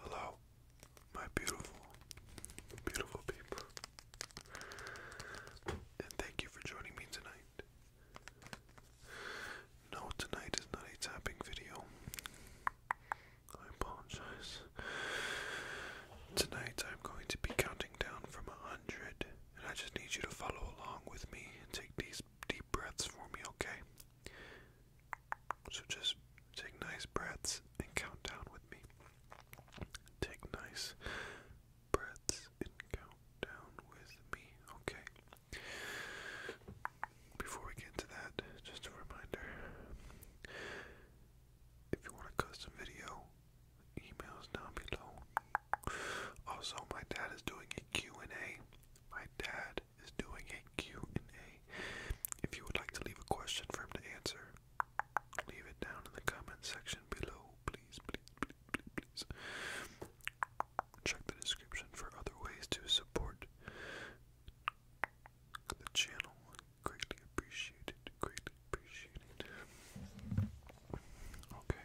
Hello, my beautiful, beautiful people. And thank you for joining me tonight. No, tonight is not a tapping video. I apologize. Tonight I'm going to be counting down from a hundred, and I just need you to follow along with me and take these nice deep breaths for me, okay? So just take nice breaths and count down with me. Take nice breaths and count down with me, okay? Before we get to that, just a reminder if you want a custom video, emails down below. Also, my dad is doing a Q&A. My dad is doing a Q&A. If you would like to leave a question for him to answer, leave it down in the comment section below. Please, please, please, Check the description for other ways to support the channel. Greatly appreciated. Greatly appreciated. Okay.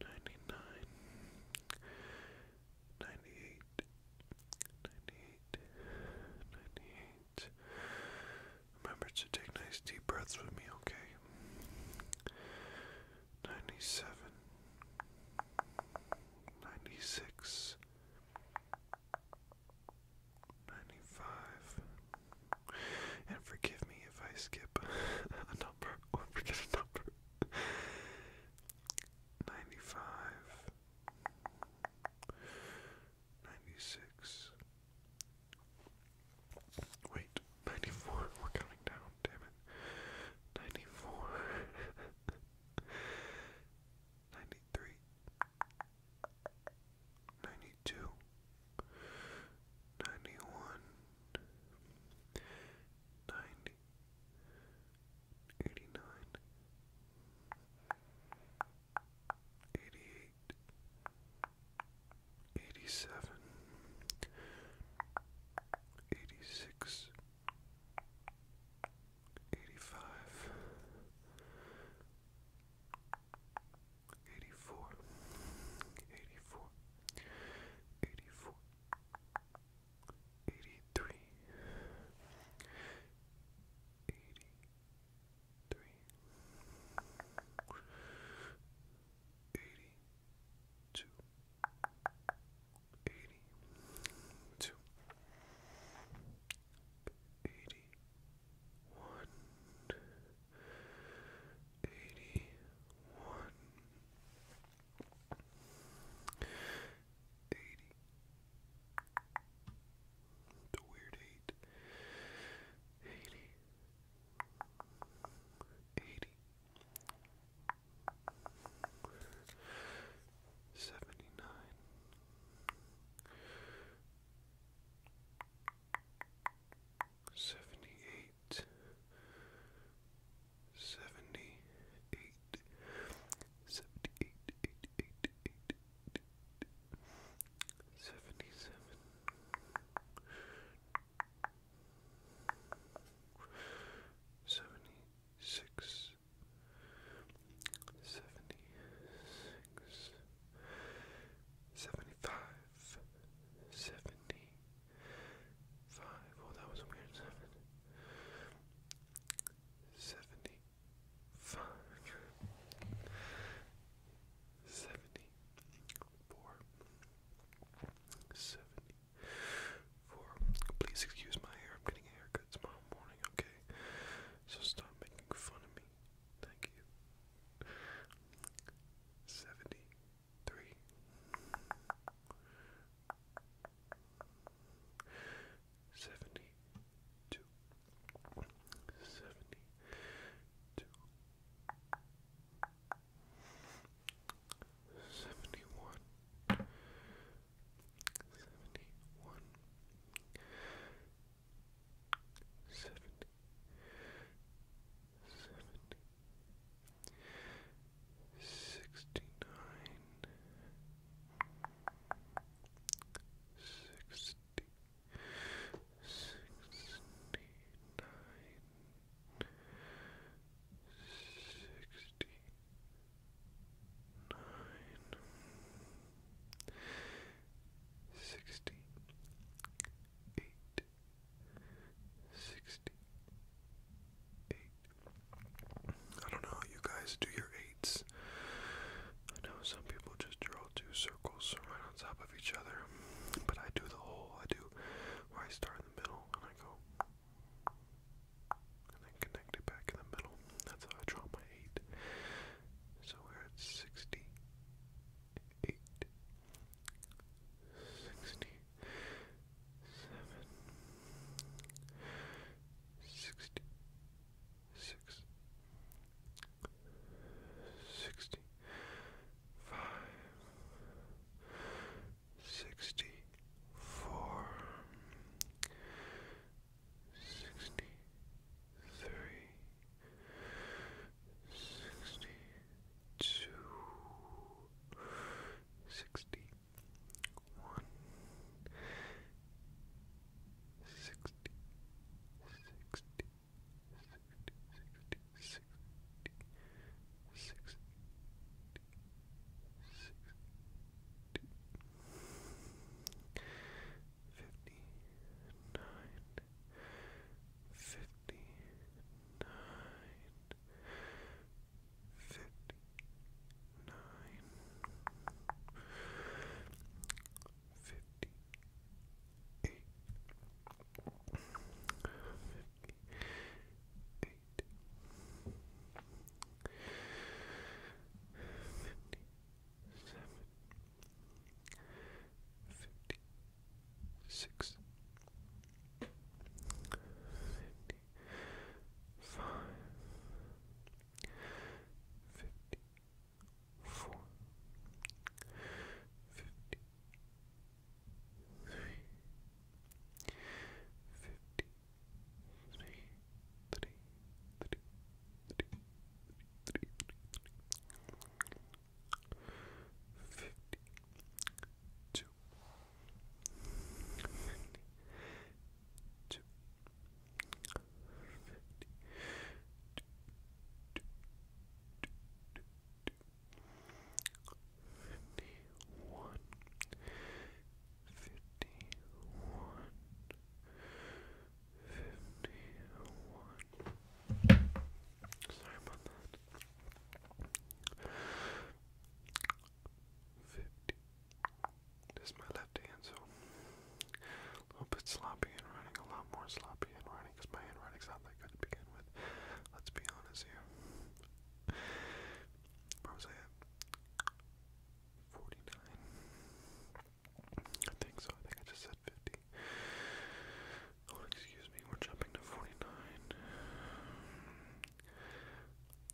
ninety-nine, ninety-eight, ninety-eight, ninety-eight. Remember to take nice deep breaths with me, okay? Ninety-seven, ninety-six, ninety-five. And forgive me if I skip number or forget a number. 95 96 Wait, 94. We're coming down, damn it. 94 93 92 91 ninety, eighty nine, eighty eight, eighty seven, eighty six, eighty five. 84 84 84 Eighty-three, eighty-three, eighty-two, eighty-two, eighty-one. 81 eighty one eighty the weird eight eighty eighty seventy nine Seventy eight, seventy eight, seventy eight, eight, eight, eight, eight, Five. Oh, that was a weird seven. Seventy-five. Seventy-four. Seventy-four. Please excuse my hair. I'm getting a haircut tomorrow morning. Okay. So stop making fun of me. Thank you. Seventy three. Seventy two, seventy two, seventy one, seventy one, seventy, seventy, sixty-nine, sixty, sixty-nine, 68. I don't know you guys do your eights. I know some people just draw two circles right on top of each other, but I do the whole, I do where I start in the middle and I go and then connect it back in the middle. That's how I draw my eight. So we're at 68 eight, sixty, seven, sixty, six, sixty, five, sixty, four, sixty. 63 63 62 63 three sixty two sixty one sixty sixty sixty sixty sixty sixty Sixty fifty nine, fifty nine, fifty nine, fifty eight, fifty eight. Fifty seven, fifty, six, fifty, five, fifty, four, fifty, three, fifty, three, three, three, three, three, three, three, fifty-two, fifty-two, fifty-one, fifty-one. 51. Sorry about that. 50. This is my left hand, so a little bit sloppy in writing, a lot more sloppy in writing because my handwriting's not that good to begin with. Let's be honest here. 49. I think so. I think I just said 50. Oh, excuse me. We're jumping to 49. Four,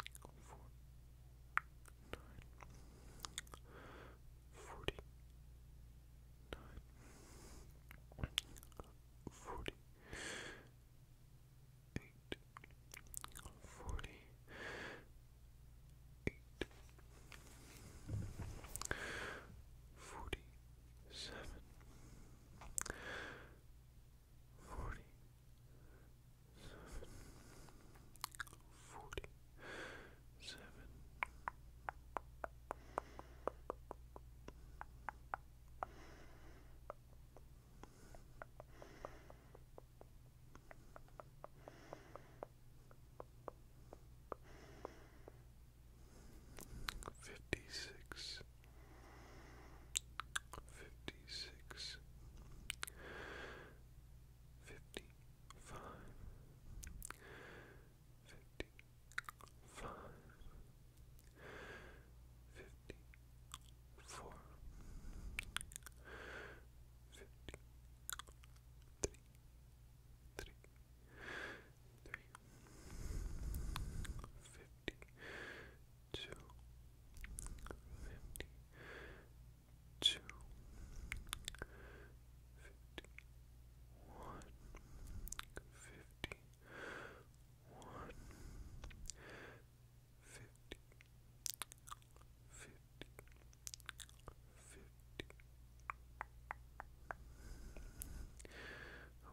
nine, 40, nine, 40, eight, 40, eight, forty seven, forty seven, forty seven. Forty fifty six, fifty six, fifty five, fifty five, fifty four. 54 fifty, three, three, three, fifty, two, fifty, two, fifty, one, fifty, one, fifty fifty, fifty, fifty.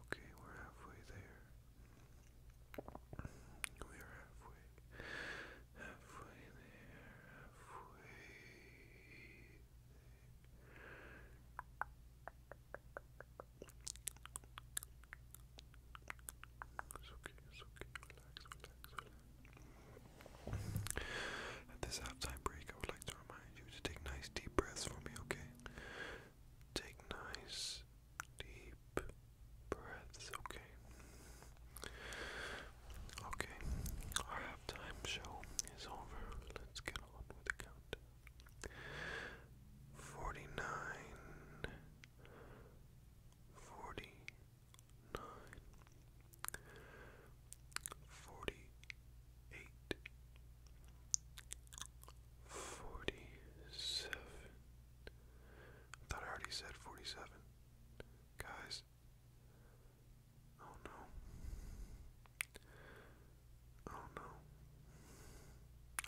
Okay, we're halfway there. We are halfway, halfway there, okay, okay, relax, relax. At this halftime break, I would like to remind you to take nice deep breaths for me, okay? Take nice deep breaths, okay? Okay, our halftime show is over. Let's get on with the count. 49 nine, forty-eight, forty-seven. I thought I already said forty-seven, guys. Oh no. Oh no.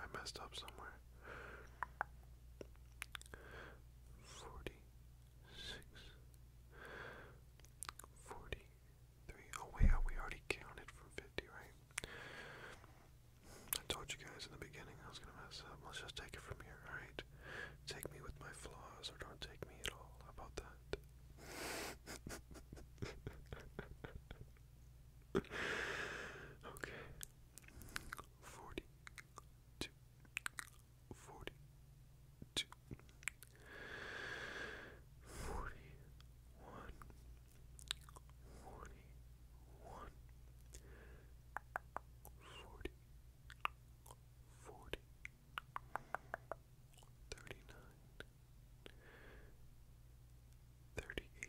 I messed up somewhere. Forty six, forty three. Oh wait, we already counted from fifty, right? I told you guys in the beginning I was gonna mess up. Let's just take it from here, alright? Take me with my flaws or don't take me at all. How about that? okay. Forty two, forty, two, forty, one, forty, one, forty, forty, thirty nine, thirty eight.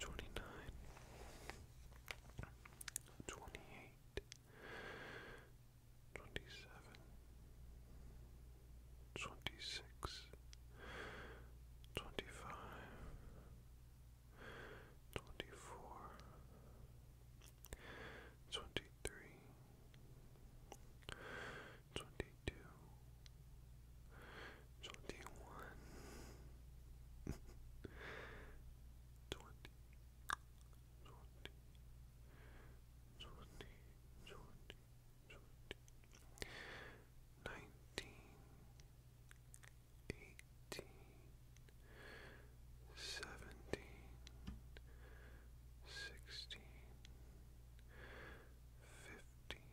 twenty-nine, twenty-eight, twenty-seven, twenty-six, twenty-five, twenty-four, twenty-three, twenty-two twenty one, twenty, twenty, twenty, twenty, twenty, nineteen, eighteen, seventeen, sixteen, fifteen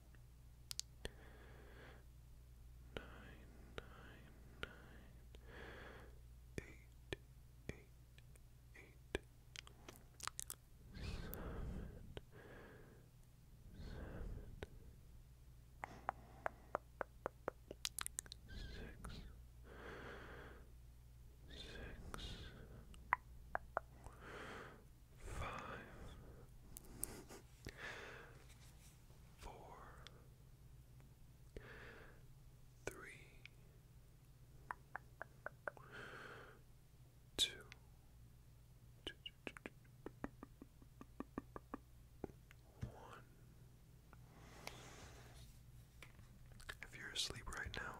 nine, nine, eight, eight, eight, seven, seven, six. Six, five, four, three, two, two, two, two, two, one. If you're asleep right now,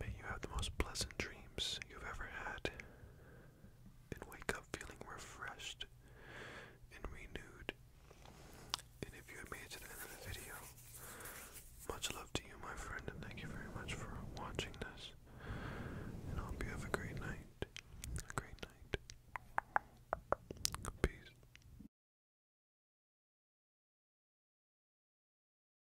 May you have the most pleasant dreams you've ever had and wake up feeling refreshed and renewed. And if you made it to the end of the video, much love to you, my friend, and thank you very much for watching this. And I hope you have a great night. A great night. Peace.